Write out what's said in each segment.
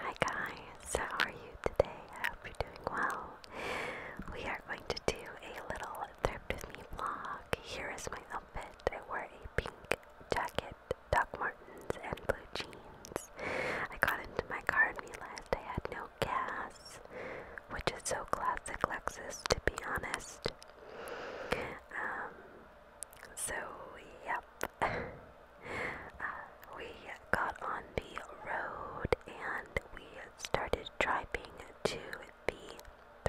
Hi guys, how are you today? I hope you're doing well. We are going to do a little thrift with me vlog. Here is my outfit. I wore a pink jacket, Doc Martens, and blue jeans. I got into my car and realized I had no gas, which is so classic Lexus to be honest. Um, so, yep, we got on the road and we started driving to the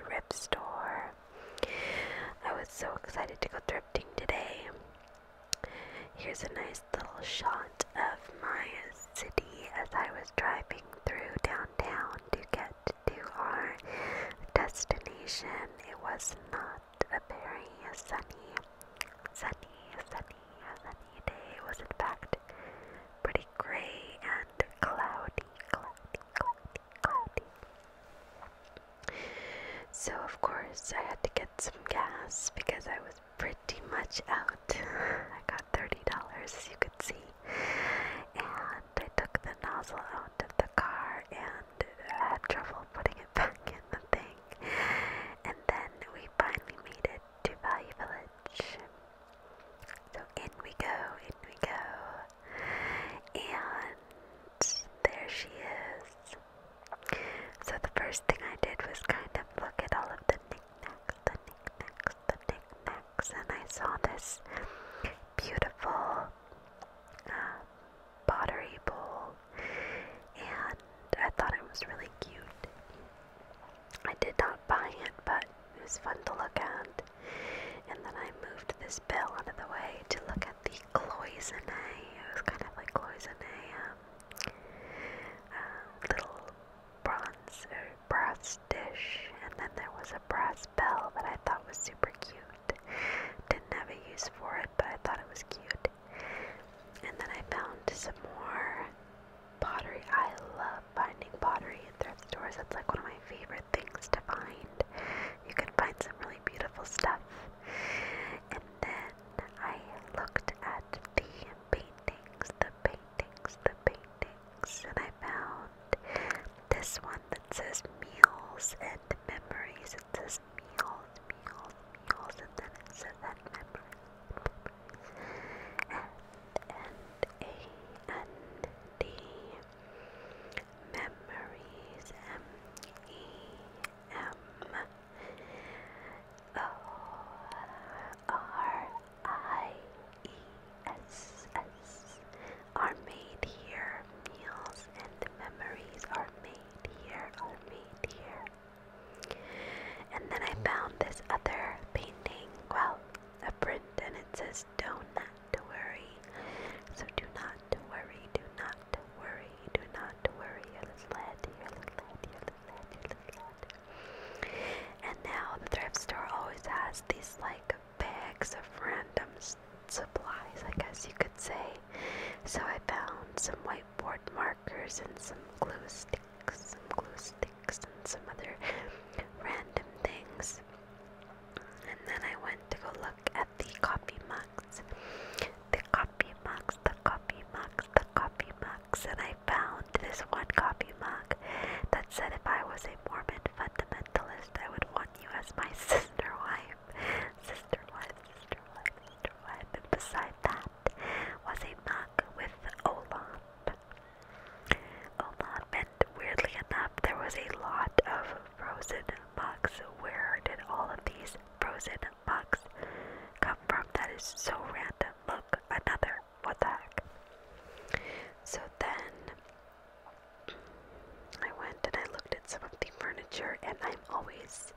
thrift store. I was so excited to go thrifting today. Here's a nice little shot of my city as I was driving through downtown to get to our destination. It was not a very sunny, sunny, sunny, sunny day. was in fact pretty gray and cloudy, cloudy, cloudy, cloudy. So of course I had to get some gas because I was pretty much out. I got thirty dollars as you could see. And I took the nozzle out of the car and I had trouble putting it back in the thing. And then we finally made it to Value Village. So in we go, in we go. And there she is. So the first thing I did was kind of look at all of the knickknacks, the knickknacks, the knickknacks, and I saw this beautiful uh, pottery bowl, and I thought it was really cute. I did not buy it, but it was fun to look at. And then I moved this bell out of the way to look at the cloisonne. It was kind of like cloisonne, um, um little bronze or brass dish. And then there was a brass bell that I thought was super cute. Didn't have a use for it, but I thought it was cute. And then I found some more pottery. I love finding pottery in thrift stores. That's like one of my favorite things to find. You can find some really beautiful stuff. And then I looked at the paintings, the paintings, the paintings, and I found this one that says meals and memories meals, meals, meals, and then it memories, and and a and d memories, m e m o r i e s s are made here. Meals and memories are made made here oh are made here. And then I found this other painting, well, a print, and it says, Don't not worry. So do not worry, do not worry, do not to worry, your little head, your little head, your little head, your little head. And now the thrift store always has these like bags of random supplies, I guess you could say. So I found some whiteboard markers and some glue sticks, some glue sticks, and some other random things. And then I went to go look at the coffee mugs. The coffee mugs, the coffee mugs, the coffee mugs. And I found this one coffee mug that said if I was a Mormon fundamentalist, I would want you as my sister wife. Sister wife, sister wife, sister wife. And beside that was a mug with Olap. Olap, and weirdly enough, there was a lot of frozen mugs. Where did all of these frozen mugs come from? That is so random. Look, another. What the heck? So then. I went and I looked at some of the furniture, and I'm always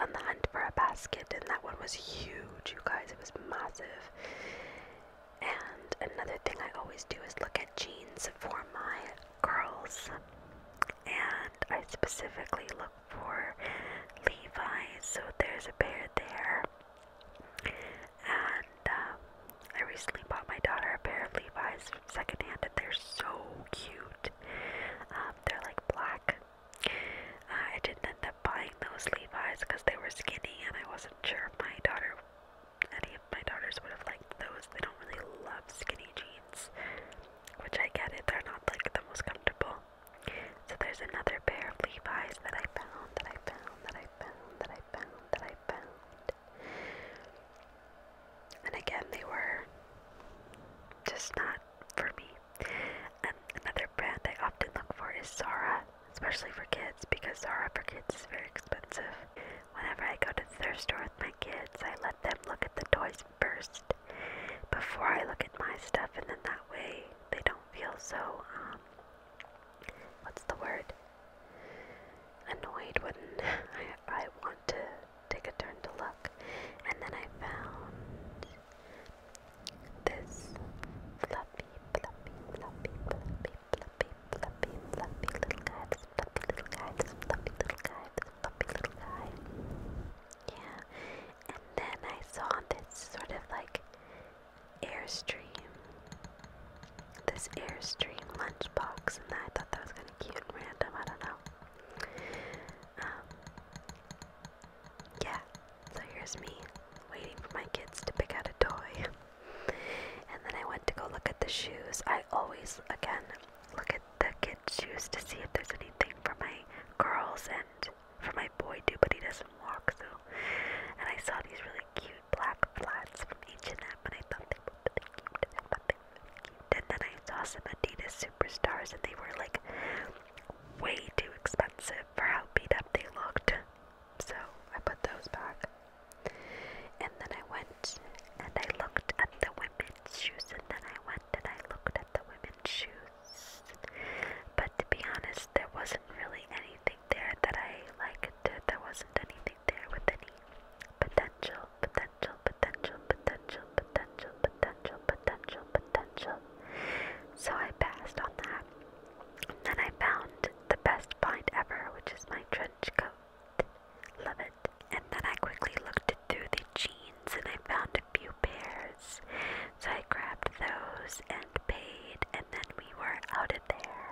on the hunt for a basket, and that one was huge, you guys. It was massive. And another thing I always do is look at jeans for my girls, and I specifically look for Levi's. So there's a pair there, and um, I recently bought my daughter a pair of Levi's secondhand, and they're so cute. Um, they're like black. Uh, I didn't end up buying those Levi's because they were skinny, and I wasn't sure if my daughter, any of my daughters, would have liked those. They don't really love skinny jeans, which I get it. They're not like the most comfortable. So there's another pair of Levi's that I found, that I found, that I found, that I found, that I found. And again, they were just not for me. And another brand I often look for is Zara, especially for kids, because Zara for kids is very expensive. Whenever I go to the store with my kids, I let them look at the toys first before I look at my stuff, and then that way they don't feel so, um, what's the word? Annoyed when I, I want to take a turn to look. And then I found this fluffy, fluffy, fluffy, fluffy, fluffy, fluffy, fluffy little guy. This fluffy little guy. This fluffy little guy. This fluffy little guy. Yeah. And then I saw this sort of like airstream. This airstream lunchbox, and I thought that was gonna cute and random, I don't know. Um, yeah, so here's me waiting for my kids to pick out a toy. and then I went to go look at the shoes. I always, again, look at the kids' shoes to see if there's anything for my girls and for my boy too, but he doesn't walk, so. And I saw these really cute black flats from H&M, and I thought they the cute, the cute. And then I saw some Adidas Superstars, and they were like way too expensive for how beat up they looked. So I put those back. And then I went and I looked at the women's shoes, and then I went and I looked at the women's shoes. But to be honest, there wasn't really anything there that I liked. There wasn't anything there with any potential, potential, potential, potential, potential, potential, potential, potential. So I passed on that. And then I found the best find ever, which is my trench coat. Love it. And then I quickly looked through the jeans and I found a few pairs. So I grabbed those and paid, and then we were out of there.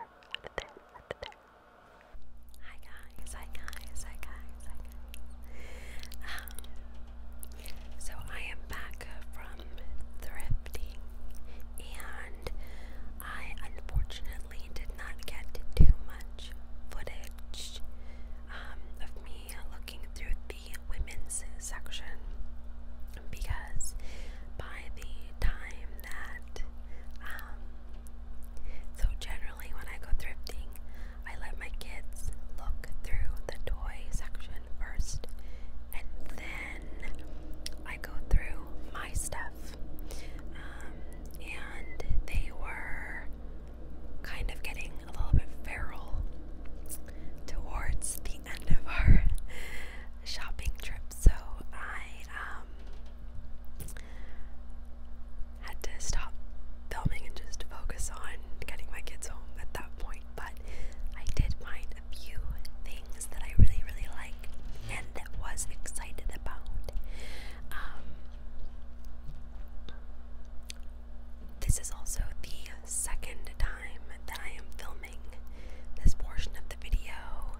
Hi guys, hi guys, hi guys, hi guys. Um, so I am back from thrifting, and I unfortunately did not get too much footage um, of me looking through the women's section because by the time that um, so generally when I go thrifting, I let my kids look through the toy section first, and then I go through my stuff. Um, and they were kind of getting a little bit feral towards the end of our shopping trip, so I um had to stop filming and just focus on getting my kids home at that point. But I did find a few things that I really, really like and that was excited about. Um, this is also the second time that I am filming this portion of the video.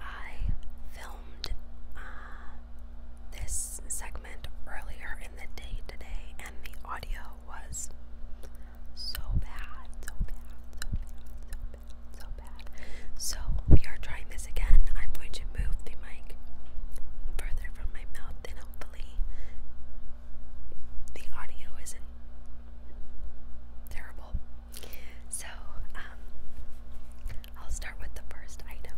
I filmed uh, this sec earlier in the day today, and the audio was so bad, so bad, so bad, so bad, so bad. So we are trying this again. I'm going to move the mic further from my mouth, and hopefully the audio isn't terrible. So, um, I'll start with the first item.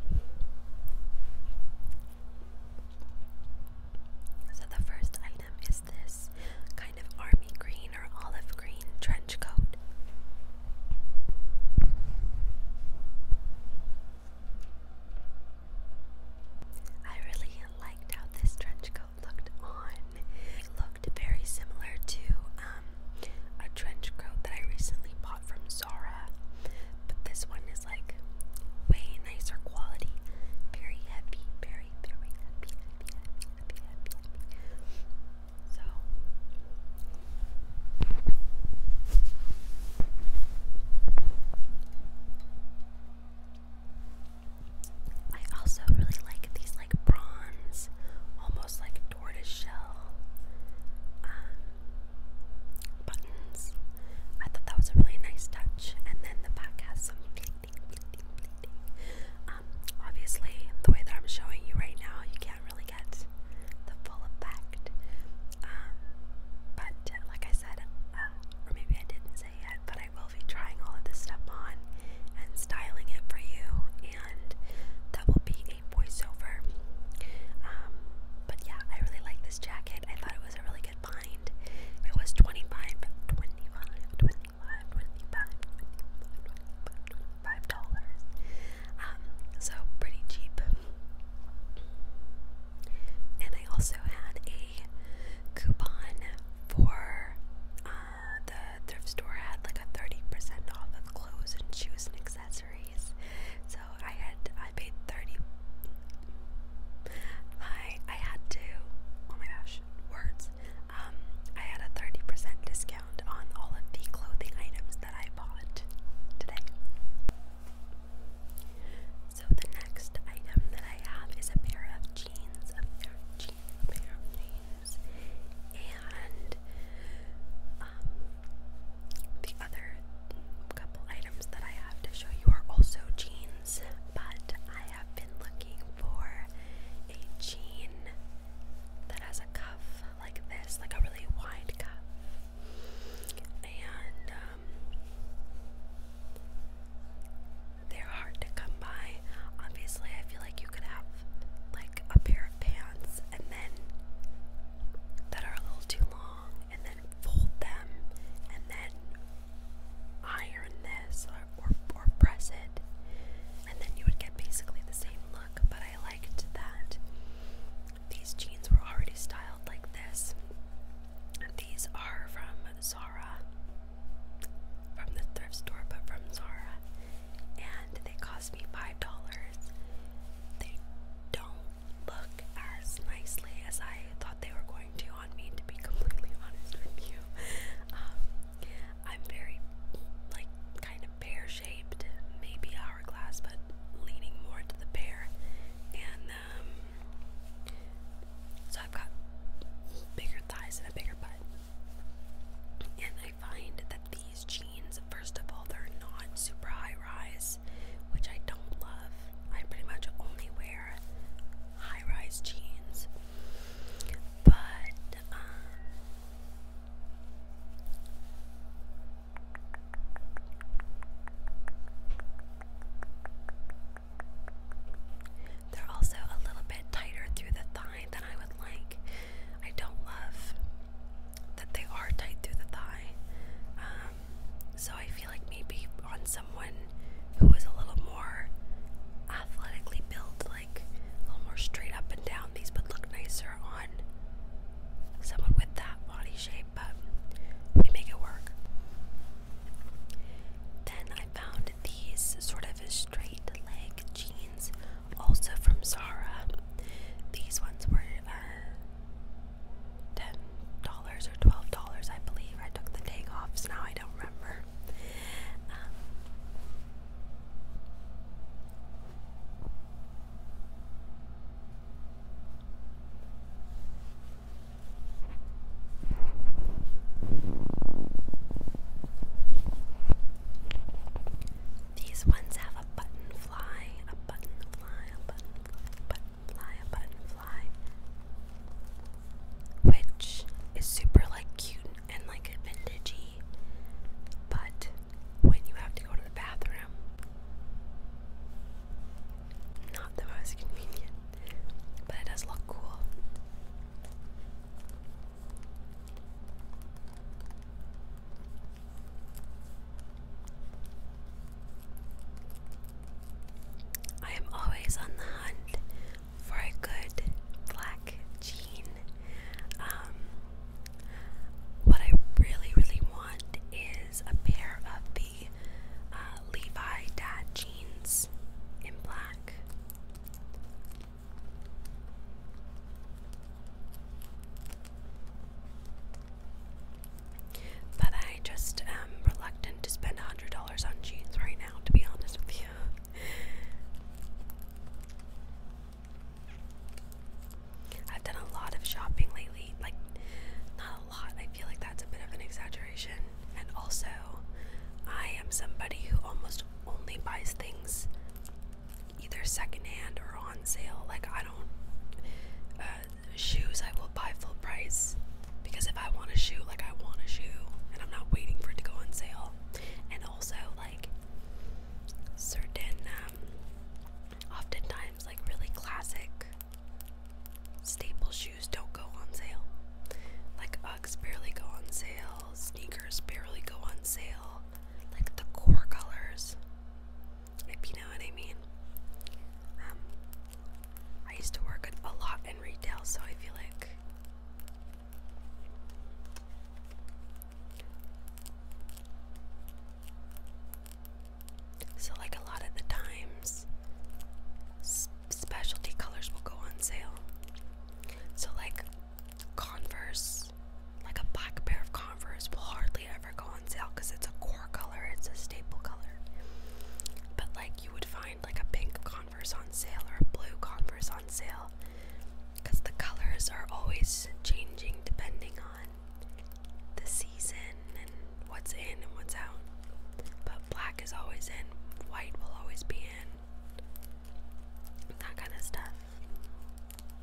So, the first item is this kind of army green or olive green trench coat. I really liked how this trench coat looked on. looked very similar to um, a trench coat that I recently bought from Zara. But this one is like way nicer quality. Very heavy, very, very heavy, heavy, heavy, heavy, heavy, So I also really like these like bronze, almost like tortoise shell um, buttons. I thought that was a really nice touch. And then the back has some pleating, pleating, pleating. Um, obviously, the way that I'm showing you right now, you can't really get the full effect. Um, but uh, like I said, uh, or maybe I didn't say yet, but I will be trying all of this stuff on and styling it for you, and that will be voiceover. Um, but yeah, I really like this jacket. I thought it was a really good find. It was 25, 25, dollars. Um, so pretty cheap. And I also had a coupon for uh, the thrift store had like a 30% off of clothes and shoes and accessories. I had I paid thirty. I I had to. Oh my gosh, words. Um, I had a thirty percent discount on all of the clothing items that I bought today. So the next item that I have is a pair of jeans, a pair of jeans, a pair of jeans, and um, the other couple items that I have to show you are also jeans, but I have been looking for a jean that has a cuff like this, like a really wide cuff. And um, they're hard to come by. Obviously, I feel like you could have like a pair of pants and then that are a little too long and then fold them and then iron this or, or press it and then you would get basically the same look but I liked that these jeans were already styled like this these are from Zara from the thrift store but from Zara and they cost me five dollars they don't look as nicely as I thought they were going to on me, to be completely honest with you. Um, I'm very, like, kind of pear shaped, maybe hourglass, but leaning more to the pear. And, um, so I've got bigger thighs and a bigger butt. And I find that these jeans, first of all, they're not super high rise which I don't love. I pretty much only wear high rise jeans. But, um, they're also a little bit tighter through the thigh than I would like. I don't love that they are tight through the thigh. Um, so I feel like maybe on someone who is a little more athletically built, like a little more straight up and down, these would look nicer on someone with that body shape, but we make it work. Then I found these sort of straight leg jeans, also from Zara. These ones were uh, ten dollars or twelve dollars, I believe. I took the takeoffs. Now I don't remember. Um, these ones have a buttonfly, a button buttonfly, a buttonfly, a buttonfly, Which is super like cute and like vintagey. But when you have to go to the bathroom, not the most convenient. But it does look cool. I am always on the hunt for a good black jean. Um, what I really, really want is a pair of the uh, Levi dad jeans in black. But I just am reluctant to spend $100 on jeans right now, to be honest with you. I've done a lot of shopping lately. Like, not a lot. I feel like that's a bit of an exaggeration. And also, I am somebody who almost only buys things either secondhand or on sale. Like I don't uh, shoes I will buy full price because if I want a shoe, like I want a shoe, and I'm not waiting for it to go on sale. And also like certain, um, oftentimes like really classic staple shoes don't go on sale. Like Uggs barely go on sale, sneakers barely go on sale. Like the core colors if you know what I mean. Um, I used to work a lot in retail, so I feel like so like a lot of the times specialty colors will go on sale. So like Converse like a black pair of Converse will hardly ever go on sale because it's a core color, it's a staple color. But like you would find like a pink Converse on sale or a blue Converse on sale because the colors are always changing depending on the season and what's in and what's out. But black is always in, white will always be in, that kind of stuff.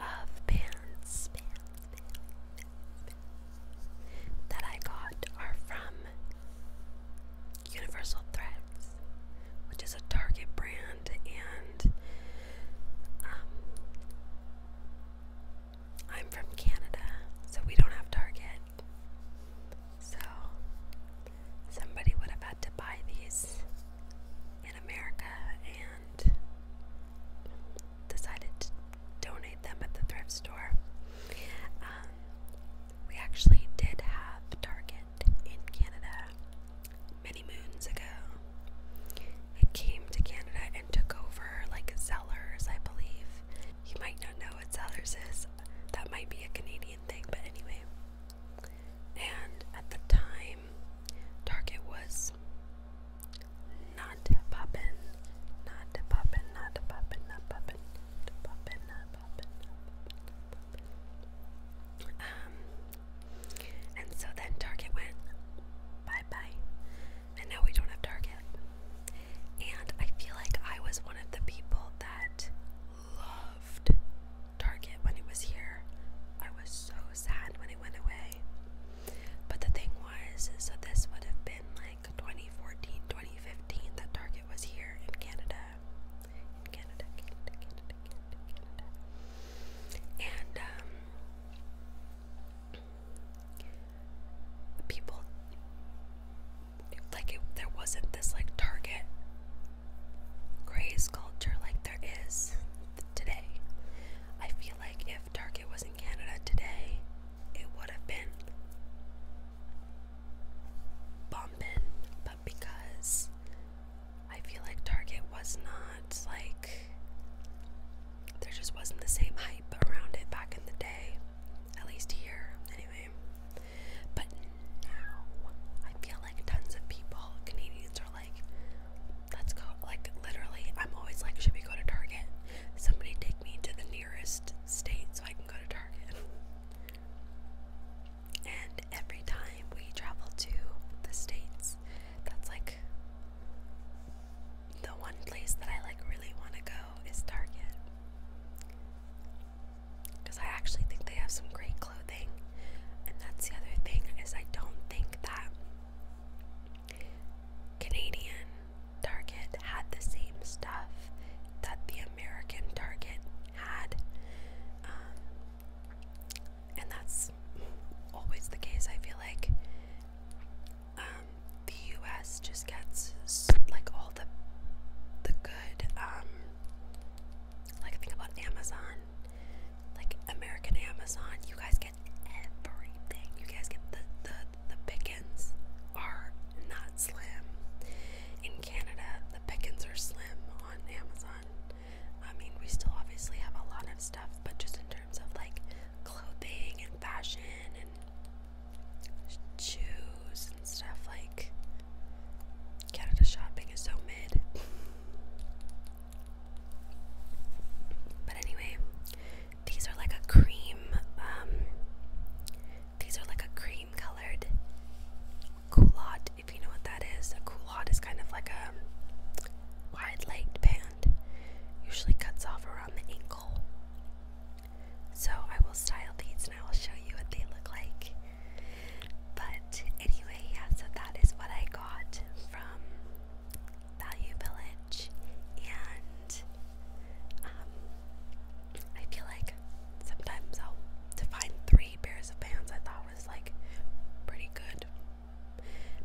of pants, that I got are from Universal Threads, which is a Target brand, and um, I'm from Canada, so we don't have Target. So somebody would have had to buy these in America, and and decided to donate them at the thrift store. Um, we actually did have Target in Canada many moons ago. It came to Canada and took over like Zellers, I believe. You might not know what Zellers is. That might be a Canadian thing, but anyway. And at the time, time, Target was not poppin', not poppin', not poppin', not poppin', not poppin', not poppin', not poppin'. Um, and so then Target went bye bye, and now we don't have Target. And I feel like I was one of the people that loved Target when he was here. I was so sad when he went away. But the thing was, so this would have been like 2014, 2015 that Target was here in Canada. In Canada, Canada, Canada, Canada, And um people like it, there wasn't this like Target craze culture like there is today. I feel like if Target was in Canada today, it would have been bumping, but because I feel like Target was not like there just wasn't the same hype around it back in the day, at least here anyway. But now I feel like tons of people, Canadians, are like, let's go. Like, literally, I'm always like, should we go to Target? Somebody take me to the nearest state so I can go to Target. And every time we travel to the States, that's like the one place that I like really want to go is Target. Because I actually think they have some great and that's the other thing is I don't think that Canadian Target had the same stuff that the American Target had. Um, and that's always the case. I feel like um, the U.S. just gets like all the the good um, like, think about Amazon. Like, American Amazon, you guys get everything. You guys get the, the, the pickings are not slim. In Canada, the pickings are slim on Amazon. I mean, we still obviously have a lot of stuff, but just in terms of like clothing and fashion and shoes and stuff, like Canada shopping is so mid. But anyway, these are like a cream, um, these are like a cream colored culotte, if you know what that is. A culotte is kind of like a wide legged band, usually cuts off around the ankle. So I will style these and I will show you what they look like. But anyway, yeah, so that is what I got from Value Village. And um, I feel like sometimes I'll to find three pairs of pants I thought was like pretty good.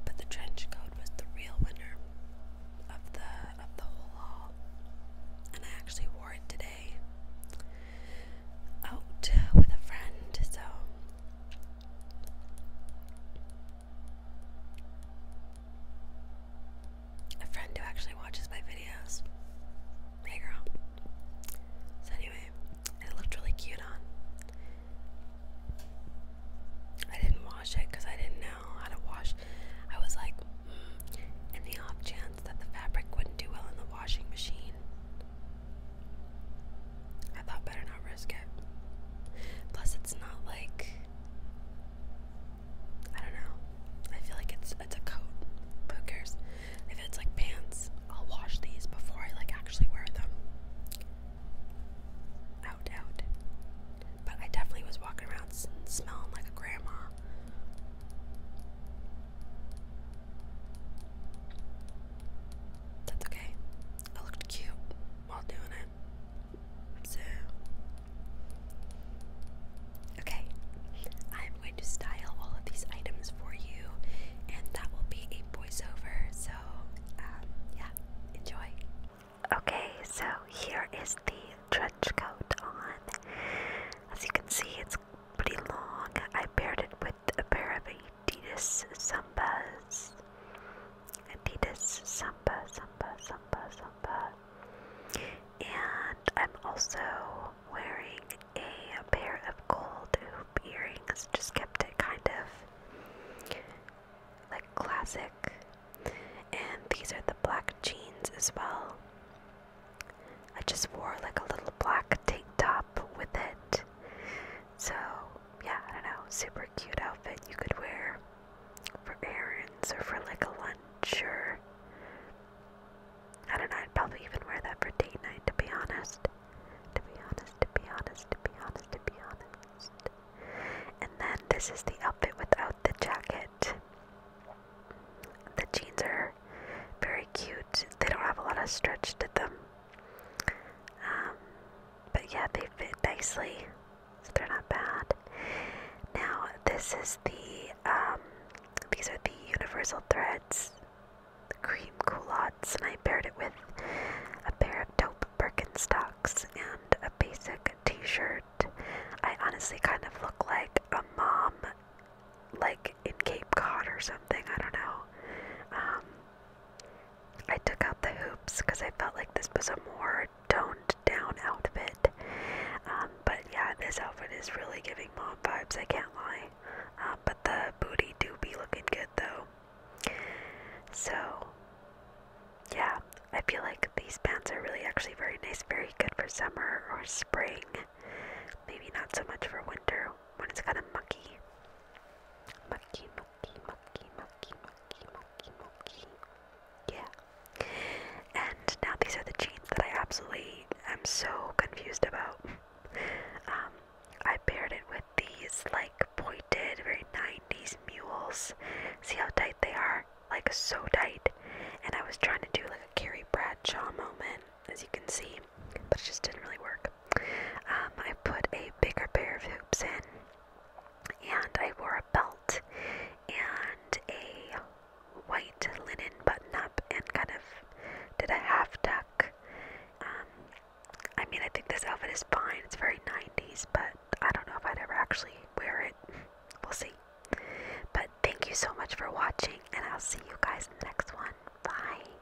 But the trench coat was the real winner of the of the whole haul. And I actually wore it today out with a friend, so a friend who actually watches my videos. Hey girl. So anyway, it looked really cute on. I didn't wash it because I didn't know how to wash. I was like, mm, in the off chance that the fabric wouldn't do well in the washing machine, I thought better not risk it. Plus, it's not like I don't know. I feel like it's it's a coat. who cares? If it's like pants, I'll wash these before I like actually wear them. Out, out. But I definitely was walking around smelling like a grandma. That's okay. I looked cute while doing it. So Okay. I'm going to style all of these items for you and that will be a voiceover. So um, yeah, enjoy. Okay, so here is the trench coat on. As you can see it's pretty long. I paired it with with a pair of Adidas Sambas. Adidas Samba, Samba, Samba, Samba. And I'm also wearing a pair of gold hoop earrings, just kept it kind of like classic. And these are the black jeans as well. I just wore like a little little black tank top with it. So, yeah, I don't know, super cute outfit you could wear for errands or for like a lunch or. I don't know, I'd probably even wear that for date night to be honest. To be honest, to be honest, to be honest, to be honest. And then this is the outfit without the jacket. The jeans are very cute. They don't have a lot of stretch to them. Um, but yeah, they fit nicely, so they're not bad. Now this is the um, these are the universal threads, the cream culottes, and I paired it with a pair of taupe Birkenstocks and a basic T-shirt. I honestly kind of look like a mom, like in Cape Cod or something. I don't know. Um, I took out the hoops because I felt like this was a more toned down outfit. Um, but yeah, this outfit is really giving mom vibes, I can't lie. Uh, but the booty do be looking good though. So, yeah, I feel like these pants are really actually very nice, very good for summer or spring. Maybe not so much for winter when it's kind of mucky. Mucky, mucky, mucky, mucky, mucky, mucky, mucky. Yeah. And now these are the jeans that I absolutely am so confused about. Um, I paired it with these like pointed, very 90s mules. See how tight they are? Like so tight. And I was trying to do like a Carrie Bradshaw moment, as you can see, but it just didn't really work. Um, I put a bigger pair of hoops in, and I wore a belt and a white linen button up, and kind of did a half tuck. Um, I mean, I think this outfit is fine. It's very 90s, but I don't know if I'd ever actually wear it. We'll see. But thank you so much for watching, and I'll see you guys in the next one. Bye.